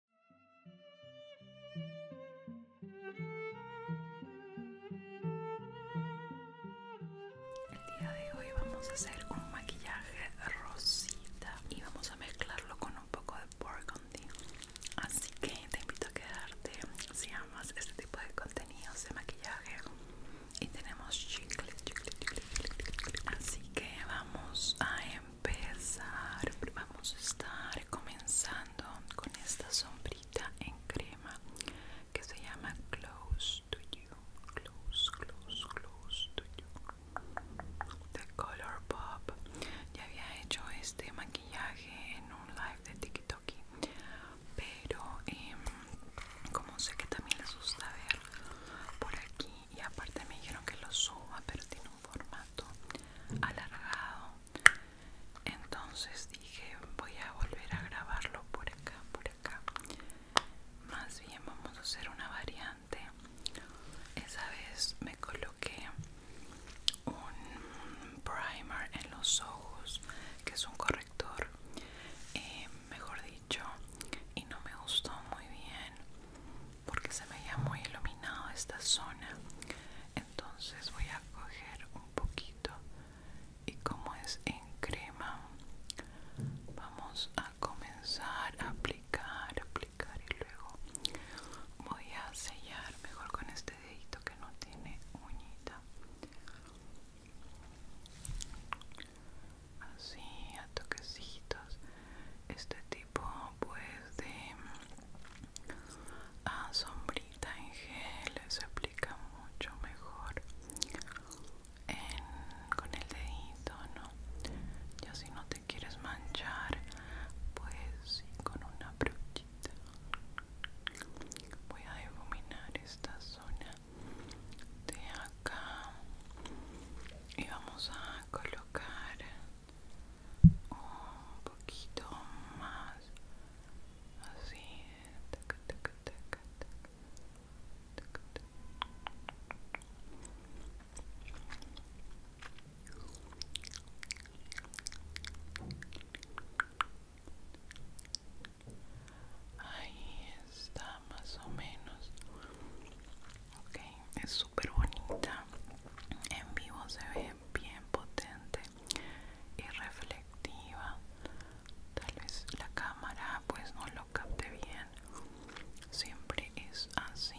El día de hoy vamos a hacer un maquillaje rosita y vamos a mezclarlo con un poco de burgundy. Así que te invito a quedarte si amas este tipo de contenidos de maquillaje. Y tenemos chicle, chicle, chicle, chicle, chicle. Así que vamos a empezar vamos a estar comenzando con esta sombrita en crema que se llama Close to You Close, Close, Close to You de Color Pop ya había hecho este maquillaje en un live de TikTok pero em, como sé que también les gusta ver por aquí y aparte me dijeron que lo suba pero tiene un formato alargado entonces dije voy a volver a grabarlo por acá por acá más bien vamos a hacer una variante esa vez me coloqué un primer en los ojos que es un corrector eh, mejor dicho y no me gustó muy bien porque se me veía muy iluminado esta zona entonces voy a coger un poquito y como es en crema vamos a comenzar a aplicar aplicar y luego voy a sellar mejor con este dedito que no tiene uñita así a toquecitos este tipo pues de ah, sombrita en gel se aplica mucho mejor con el dedito no ya si no te quieres manchar pues con una brochita voy a iluminar esta zona de acá y vamos a colocar un poquito más así Ahí está más o menos ok es súper bonita en vivo se ve bien potente y reflectiva tal vez la cámara pues no lo capte bien siempre es así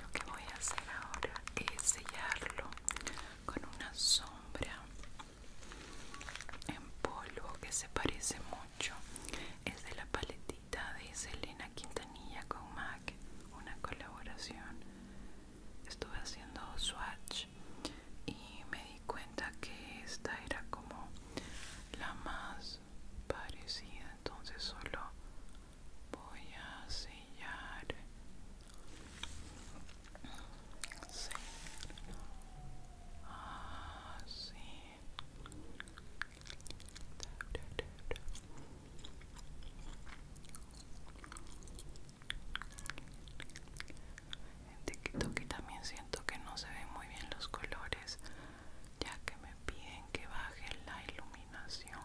lo que voy a hacer ahora es sellarlo con una sombra en polvo que se parece mucho es de la paletita de Selena Quintanilla con MAC, una colaboración. Estuve haciendo swatch y me di cuenta que esta era como la más parecida, entonces solo voy a sellar. Así. Ah, en que también siento que no se ven muy bien los colores, ya que me piden que baje la iluminación.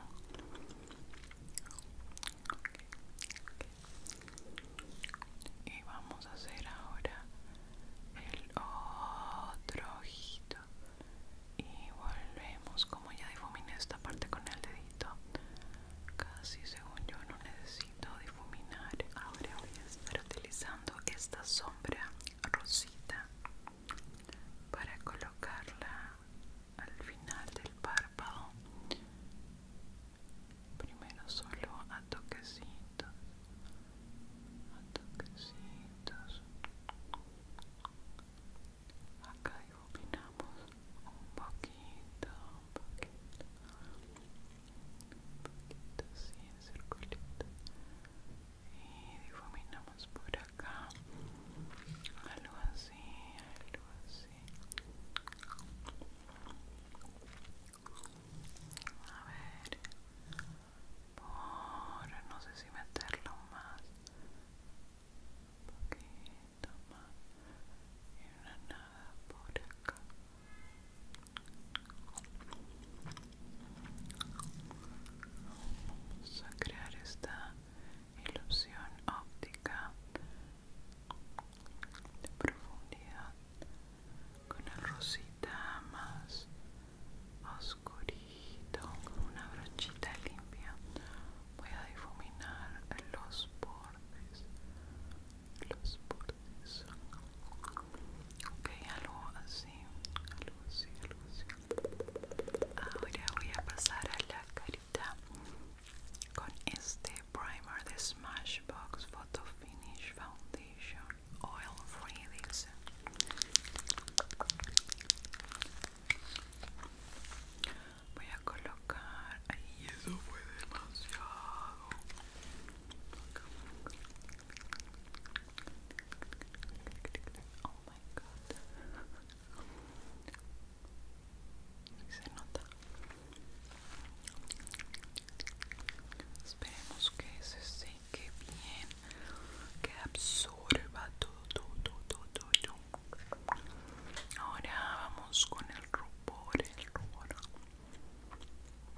Y vamos a hacer ahora el otro ojito y volvemos como ya difuminé esta parte con el dedito casi según yo no necesito difuminar ahora voy a estar utilizando esta sombra rosita para colocarla al final del párpado primero solo a toquecito a acá difuminamos un poquito un poquito un poquito así en circulito y difuminamos por acá algo así algo así a ver Ahora no sé si meterlo más un poquito más y una nada por acá vamos a crear esta ilusión óptica de profundidad con el rosita más oscurito con una brochita limpia voy a difuminar los bordes los bordes ok algo así algo así algo así ahora voy a pasar a la carita con este primer de smashbox photo finish foundation oil-free dice voy a colocar ahí eso fue demasiado oh my god se nota Esperemos que se seque bien, que absorba todo, todo, todo, todo, Ahora vamos con el rubor, el rubor.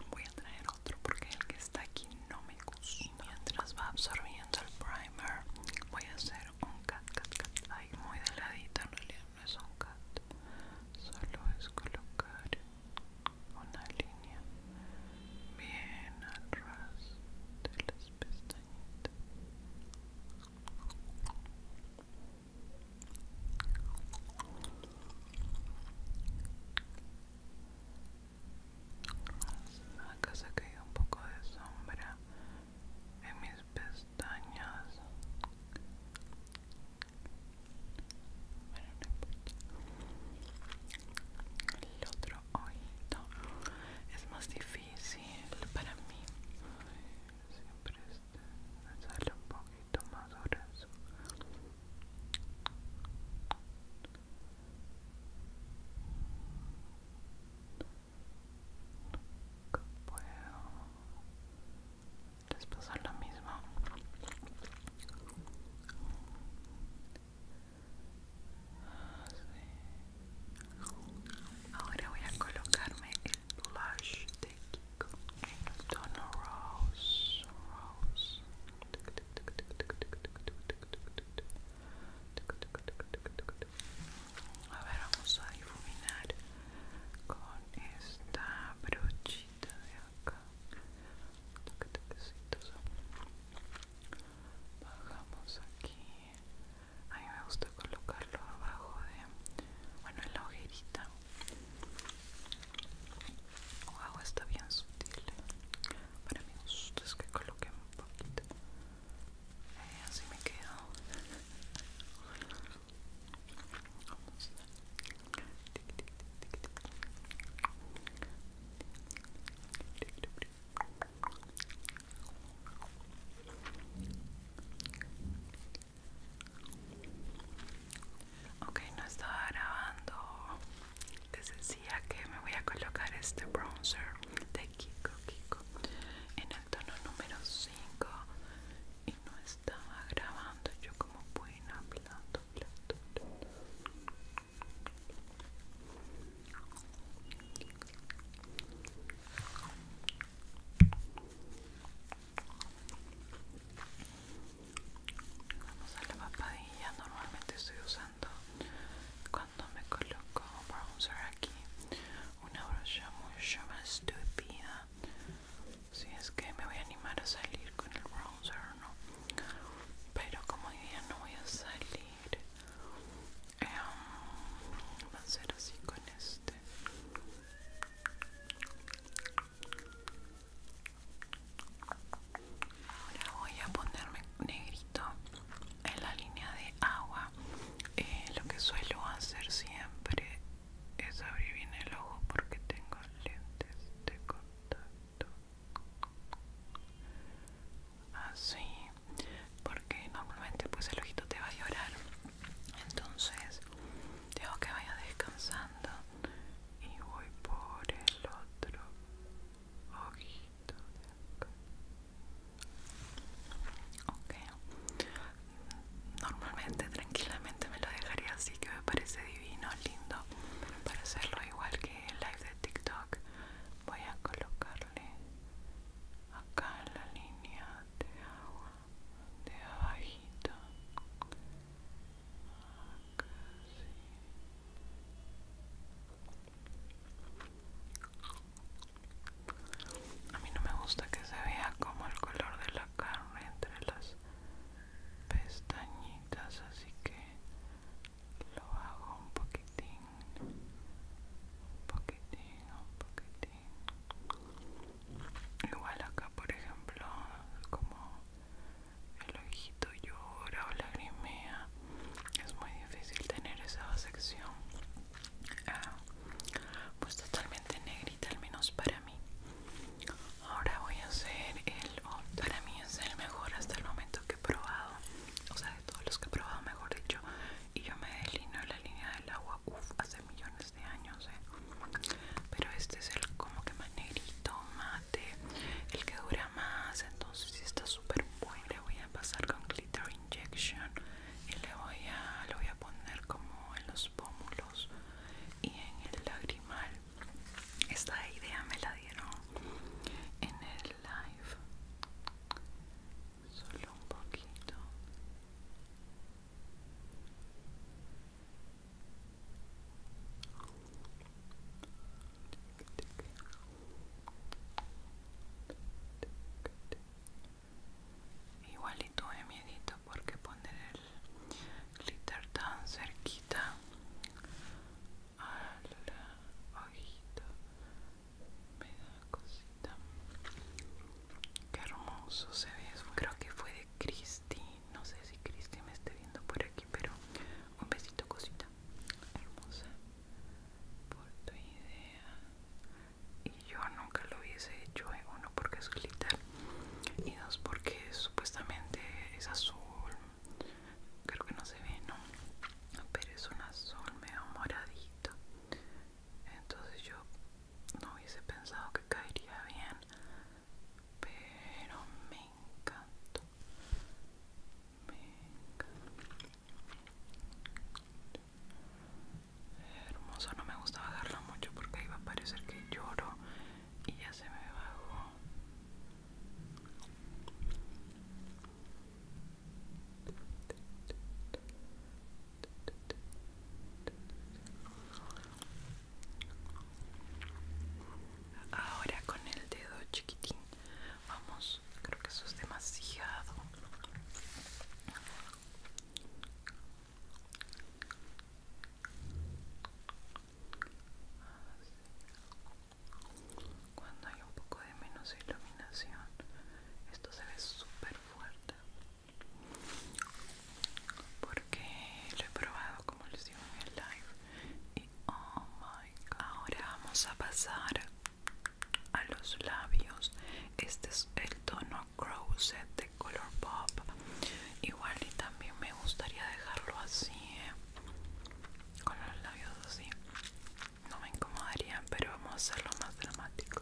Voy a traer otro porque el que está aquí no me gusta. mientras va absorbiendo el primer, voy a hacer un cat, cat, cat. Ay, muy de en realidad no es un cat. Solo es colocar una línea bien atrás de las pestañitas acá se ha un poco de sombra en mis pestañas el otro oído es más difícil para mí. Siempre me sale un poquito más grueso les pasa lo mismo ahora voy a colocarme el blush de Kiko en el tono rose a ver, vamos a iluminar con esta brocha de acá toque toquecito. bajamos aquí a mí me gusta colocarlo abajo de bueno en la ojerita wow está bien sutil ¿eh? para me gusta es que coloque un poquito eh, así me quedo Okay, Ok, no estaba grabando. Les decía que me voy a colocar este bronzer de Kiko Kiko en el tono número 5 y no es estaba grabando yo como buena, hablando, plato, hablando. Vamos a la papadilla. Normalmente estoy usando cuando me coloco bronzer aquí una brocha mucho más estúpida si es que me voy a animar a salir con el bronzer no pero como hoy día no voy a salir em, va a ser así con este ahora voy a ponerme negrito en la línea de agua eh, lo que suelo hacer siempre es abrir bien el ojo porque tengo lentes de contacto así porque normalmente pues el ojito te va a llorar entonces tengo que vaya descansando y voy por el otro ojito de acá. ok normalmente tranquilamente me lo dejaría así que me parece divino, lindo para hacerlo igual que el live de TikTok voy a colocarle acá en la línea de agua de abajito acá a mí no me gusta que se vea como el color de la carne entre las pestañitas, así que lo hago un poquitín, un poquitín, un poquitín. Igual acá, por ejemplo, como el ojito llora o lagrimea, es muy difícil tener esa sección Ah, pues totalmente negrita al menos para mí ahora voy a hacer el oh, para mí es el mejor hasta el momento que he probado o sea de todos los que he probado mejor dicho y yo me delineo la línea del agua hace millones de años eh. pero este es el como que más negrito mate el que dura más entonces está súper bueno le voy a pasar con glitter y le voy a, lo voy a poner como en los pómulos y en el lagrimal esta idea me la dieron en el live solo un poquito Igual y tuve miedito porque poner el glitter tan cerquita la ojito me da cosita. Qué hermoso se ve. Eso. Creo que fue de Christy. No sé si Christy me esté viendo por aquí, pero un besito cosita. Hermosa. Por tu idea y yo nunca lo hubiese hecho eh, uno porque es glitter y dos porque supuestamente es azul creo que no se ve no pero es un azul medio moradito entonces yo no hubiese pensado que caería bien pero me encantó me encantó hermoso no me gusta bajarla mucho porque iba a parecer que lloro y ya se me bajó Ahora con el dedo chiquitín Vamos, creo que eso es demasiado. Cuando hay un poco de menos iluminación, esto se ve súper fuerte. Porque lo he probado como les digo en el live. Y oh my god. Ahora vamos a pasar a los labios este es el tono Crozet de Color Pop igual y también me gustaría dejarlo así eh, con los labios así no me incomodaría pero vamos a hacerlo más dramático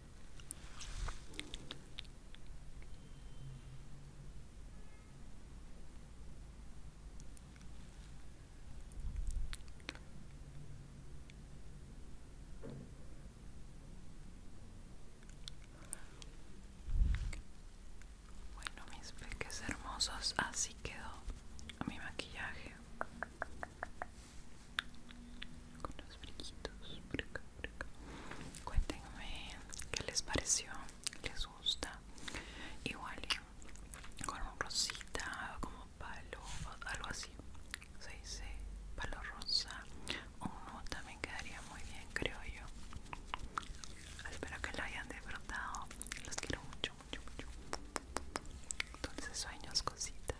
Bueno, mis peques hermosos, así quedó mi maquillaje. Con los brillitos Cuéntenme qué les pareció, les gusta. Igual con un rosita, como palo, algo así. Se dice palo rosa. Un también quedaría muy bien, creo yo. Espero que lo hayan disfrutado. Los quiero mucho, mucho, mucho. Entonces sueños, cositas.